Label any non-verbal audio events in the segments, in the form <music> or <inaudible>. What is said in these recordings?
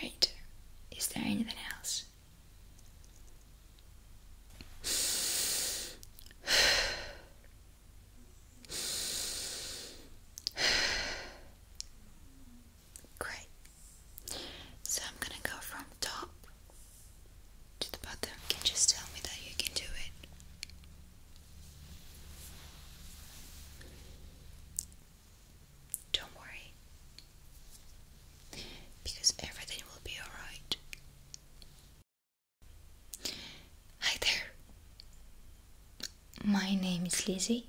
Great. Is there anything else? Great. So I'm gonna go from top to the bottom. Can you just tell me that you can do it? Don't worry. Because everything will be alright. Hi there. My name is Lizzie.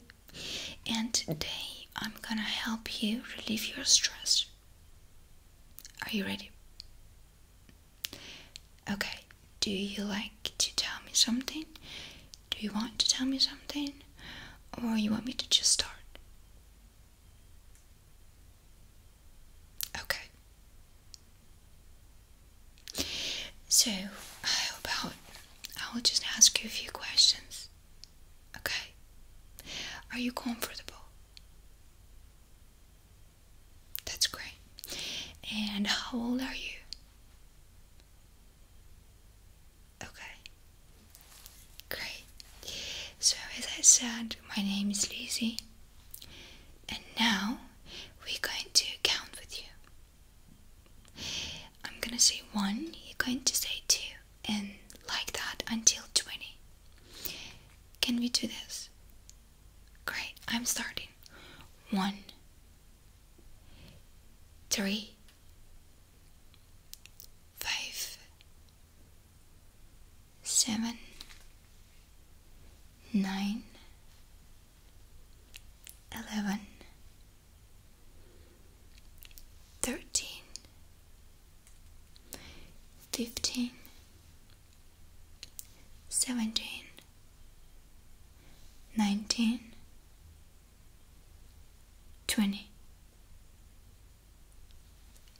And today I'm gonna help you relieve your stress. Are you ready? Okay, do you like to tell me something? Do you want to tell me something? Or you want me to just start? Okay. So, how about I will just ask you a few questions. Okay? Are you comfortable? That's great. And how old are you? Okay. Great. So, as I said, my name is Lizzie. And now we're going to count with you. I'm gonna say one, you're going to say two and like that until 20. Can we do this? Great, I'm starting. One, three, five, seven, nine, eleven, thirteen, fifteen, seventeen, nineteen, twenty.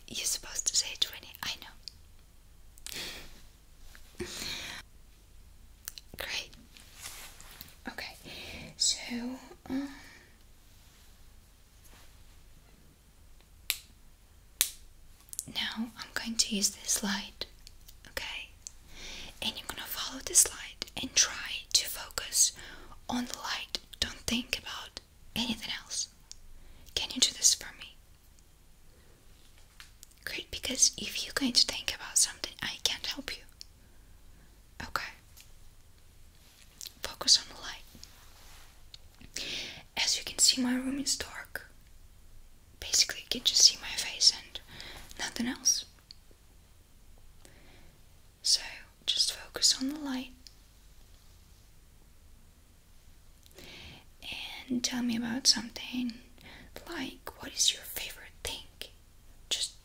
You're supposed to say twenty, I know. Great. Okay, so um, now I'm going to use this light, okay? And you're gonna follow this light and try to focus on the light. Don't think about anything else. Can you do this for me? Great, because if you're going to think about something, I can't help you. Okay. Focus on the light. As you can see, my room is dark. Basically, you can just see my face and nothing else. So, just focus on the light. And tell me about something like what is your favorite thing? Just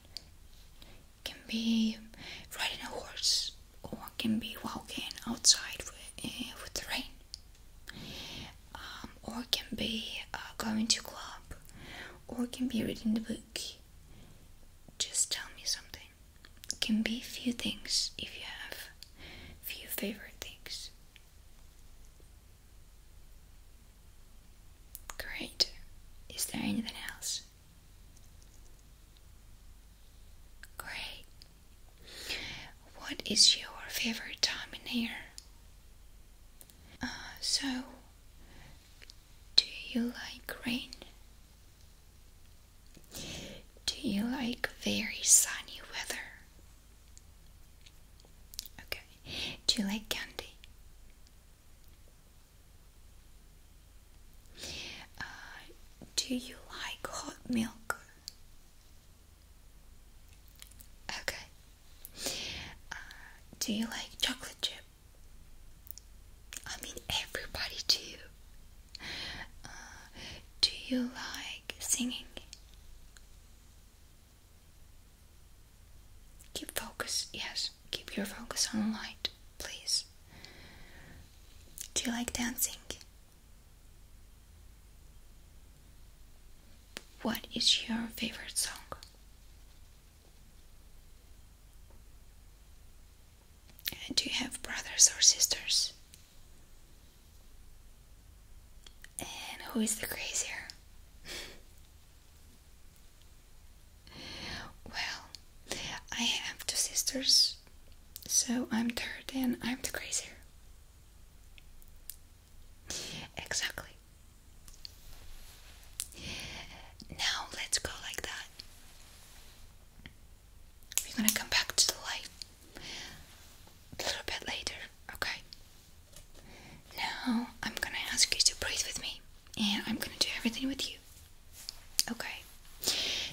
can be riding a horse or can be walking outside with, eh, the rain um, or can be uh, going to club or can be reading the book just tell me something can be few things if you have few favorite things great is there anything else Great. What is your favorite time in here? so, do you like rain? Do you like very sunny weather? Okay. Do you like candy? Uh, do you like hot milk? Okay. Uh, do you like chocolate chip? I mean, everybody do. Uh, do you like singing? Keep focus, yes. Keep your focus on light, please. Do you like dancing? What is your favorite song? do you have brothers or sisters? And who is the crazier? <laughs> Well, I have two sisters, so I'm third and I'm the crazier. Exactly. Now let's go like that. We're gonna come back to the light a little bit later, okay? Now I'm gonna ask you to breathe with me and I'm gonna do everything with you. Okay,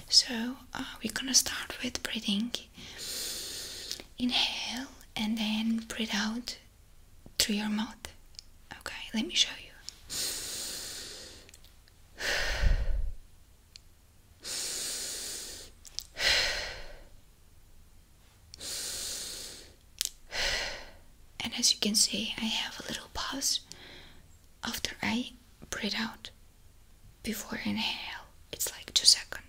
so uh, we're gonna start with breathing. Inhale and then breathe out through your mouth. Okay, let me show you and as you can see, I have a little pause after I breathe out before inhale. It's like two seconds.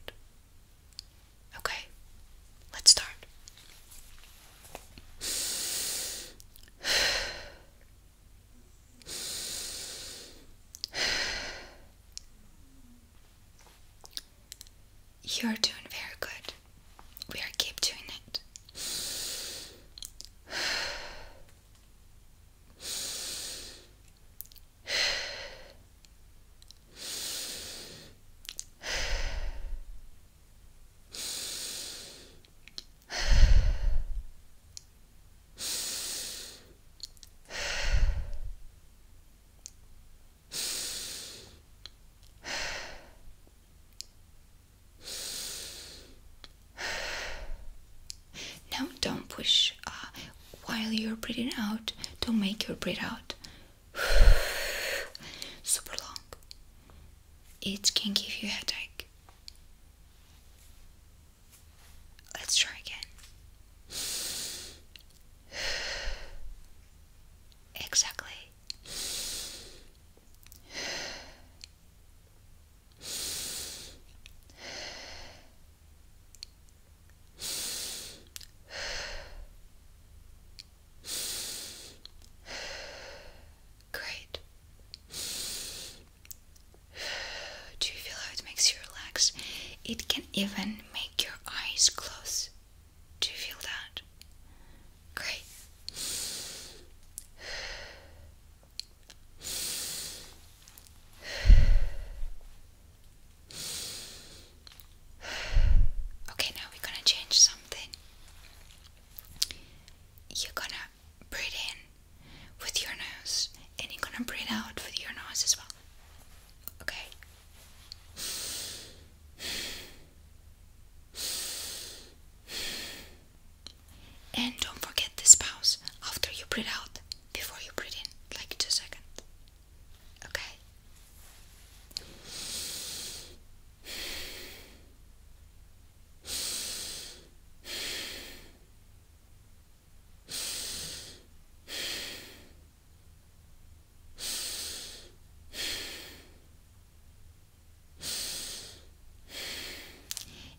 Okay, let's start. <sighs> You're doing very good. We are keep doing it. <sighs> Now don't push uh, while you're breathing out. Don't make your breath out <sighs> super long. It can give you a headache. Let's try again. <sighs> Exactly. Great. Do you feel how it makes you relax? It can even make your eyes close. Do you feel that? Great. Okay, now we're gonna change something. You're gonna breathe in with your nose, and you're gonna breathe out with your nose as well. Okay. And don't forget the spouse. after you breathe out, before you breathe in, like two seconds. Okay?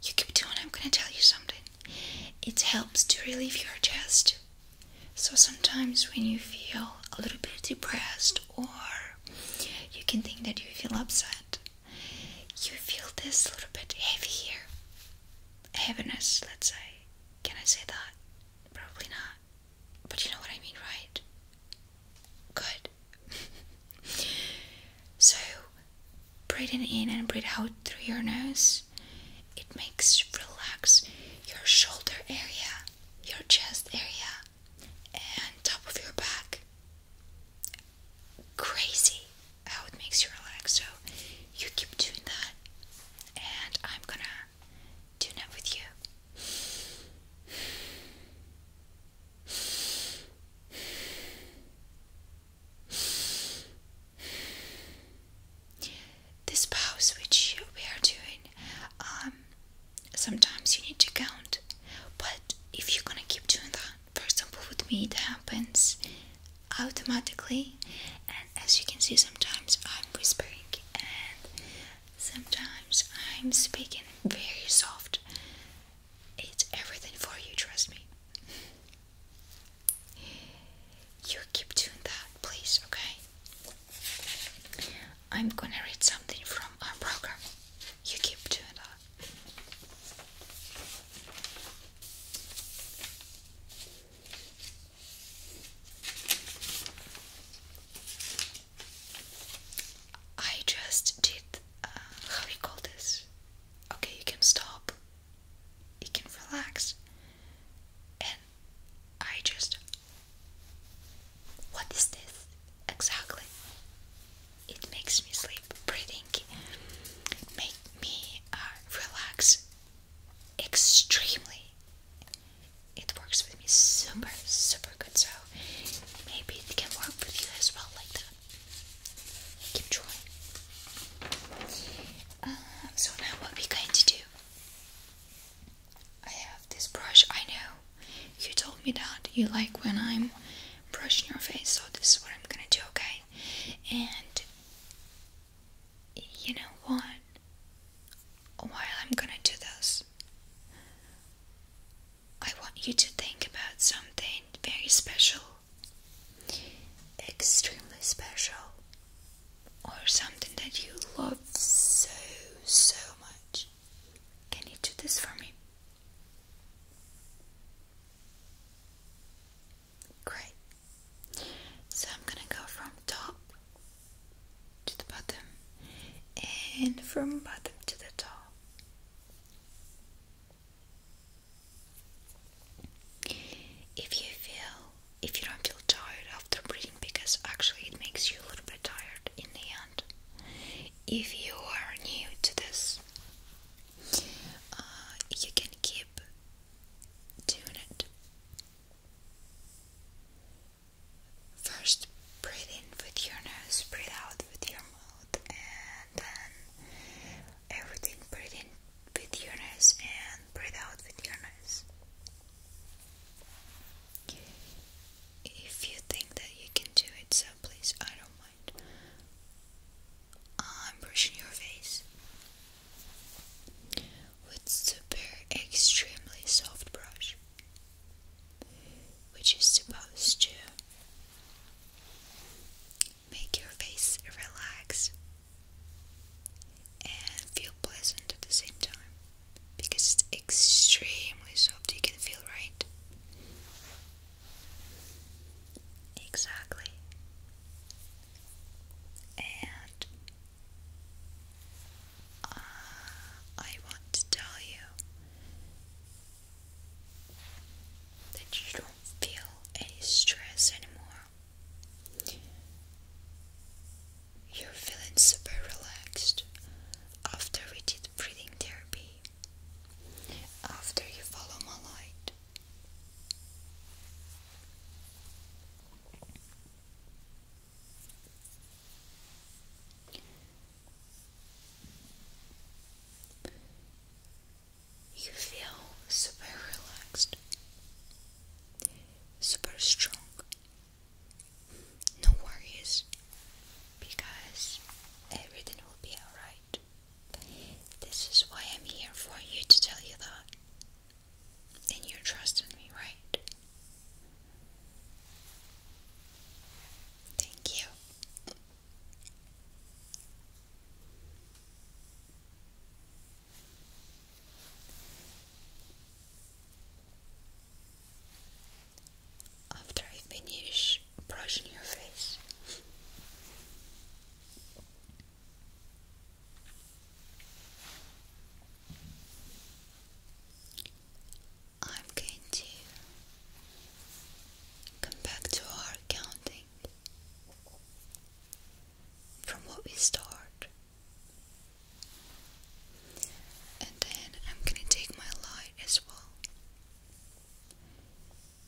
You keep doing, I'm gonna tell you something. It helps to relieve your chest. So sometimes when you feel a little bit depressed or you can think that you feel upset, you feel this a little bit heavy here. Heaviness, let's say. Can I say that? Probably not. But you know what I mean, right? good. <laughs> so, breathing in and breathe out through your nose, it makes relax your shoulder area, your chest area, and top of your back. Crazy how it makes you relax. So, you keep doing that, and I'm gonna do that with you. This pose which we are doing, um, sometimes you need to count, but if you're gonna keep doing that, for example, with me, it happens automatically, and as you can see, sometimes I'm whispering and Sometimes I'm speaking very soft. It's everything for you, trust me. You keep doing that, please, okay? I'm gonna read something from our program. You keep doing that. I just did uh, how do you call this? Okay, you can stop. You can relax. And I just what is this exactly? It makes me sleep. Breathing make me uh, relax extremely. It works with me super, super so maybe it can work with you as well, like that. Keep trying. Um, so now what we're going to do? I have this brush. I know you told me that you like when I'm brushing your face, so this is what I'm gonna do, okay? And you know what? While I'm gonna do this, I want you to think about something very special, extremely special, or something that you love so, so much. Can you do this for me? Great. So I'm gonna go from top to the bottom and from bottom to the top. If you feel if you don't feel tired after breathing because actually it makes you a little bit tired in the end. If you are new to this uh, you can keep doing it. First, breathe in with your nose, breathe out with your mouth, and then everything breathe in with your nose and breathe out with your nose. If you think that you can do it, so please, I don't mind. I'm brushing your face with super extremely soft brush which is supposed to make your face relax and feel pleasant at the same time because it's extremely soft, you can feel right. Exactly. And uh, I want to tell you that you don't feel any stress anymore. You're feeling super relaxed after we did breathing therapy, after you follow my light. You feel super relaxed, super strong. No worries because everything will be alright. This is why I'm here for you to tell you that. And you're trusting me, right? Thank you. After I finish brushing your face, I'm going to come back to our counting from what we start, and then I'm gonna take my light as well,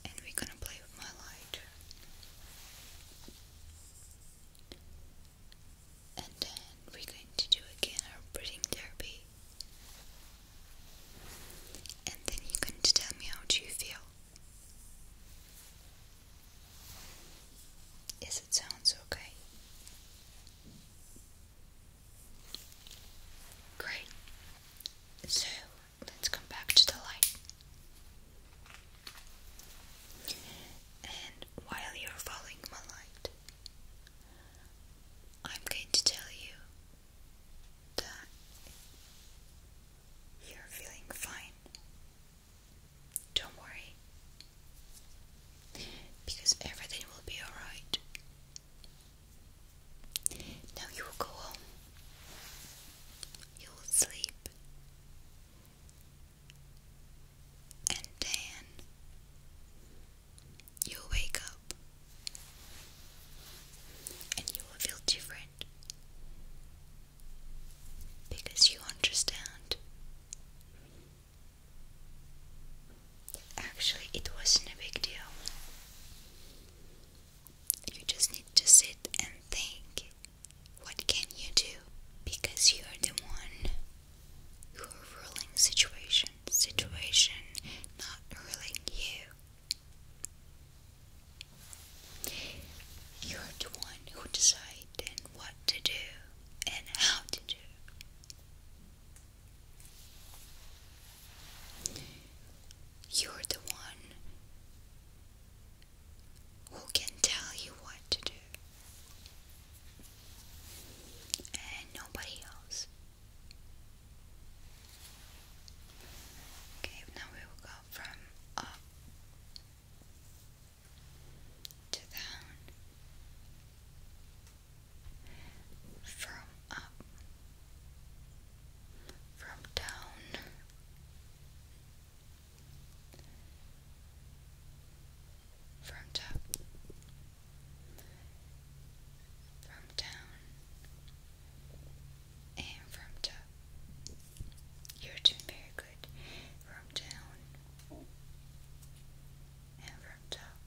and we're gonna play with my light and then we're going to do again our breathing therapy. And then you're going to tell me how do you feel. Yes, it sounds okay. Great. So let's come back to the light. And while you're following my light, I'm going to tell you that you're feeling fine. Don't worry. Because everything will be alright. Now you will go home. You will sleep. And then You'll wake up and you will feel different because you understand. Actually, it wasn't a big deal. You just need to sit and think what can you do because you're the one you are ruling situation, situation not ruling you. You are the one who decides what to do and how to do. You're the one who can tell you what to do and nobody else. Okay, now we will go from up to down, from up, from down from top, from down, and from top. You're doing very good. From down and from top.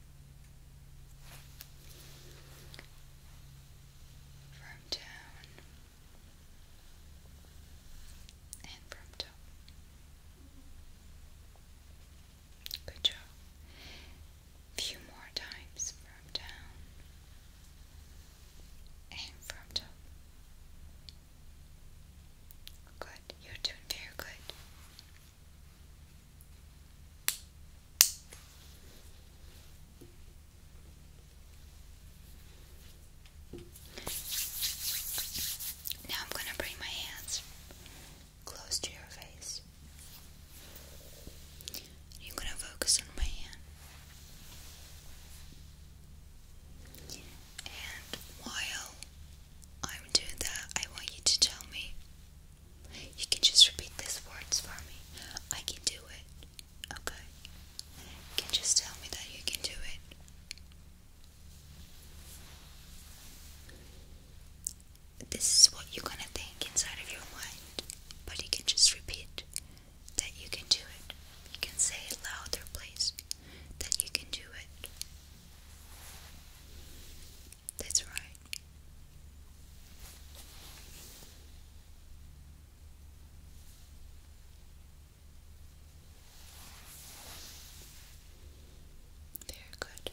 From down and from top. Good job. Few more times from down and from top. Good, you're doing very good. Now I'm going to bring my hands close to your face. You're gonna focus on my hand. And while I'm doing that, I want you to tell me. You can just repeat these words for me. I can do it. Okay? can just tell me that you can do it. This is what you're gonna think inside of your mind, but you can just repeat that you can do it. You can say louder, please, that you can do it. That's right. Very good.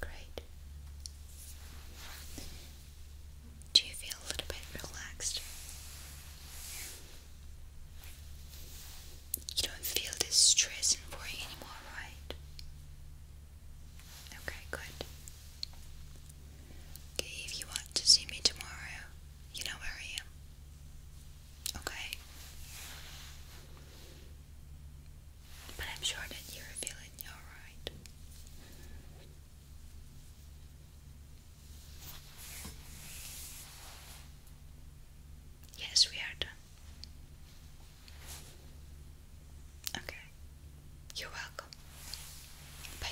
Great. Do you feel a little bit relaxed? You don't feel this stress and worry anymore, right? Okay, good. Okay, if you want to see me tomorrow, you know where I am. Okay? But I'm sure that you're feeling Yes, we are done. Okay. You're welcome. bye.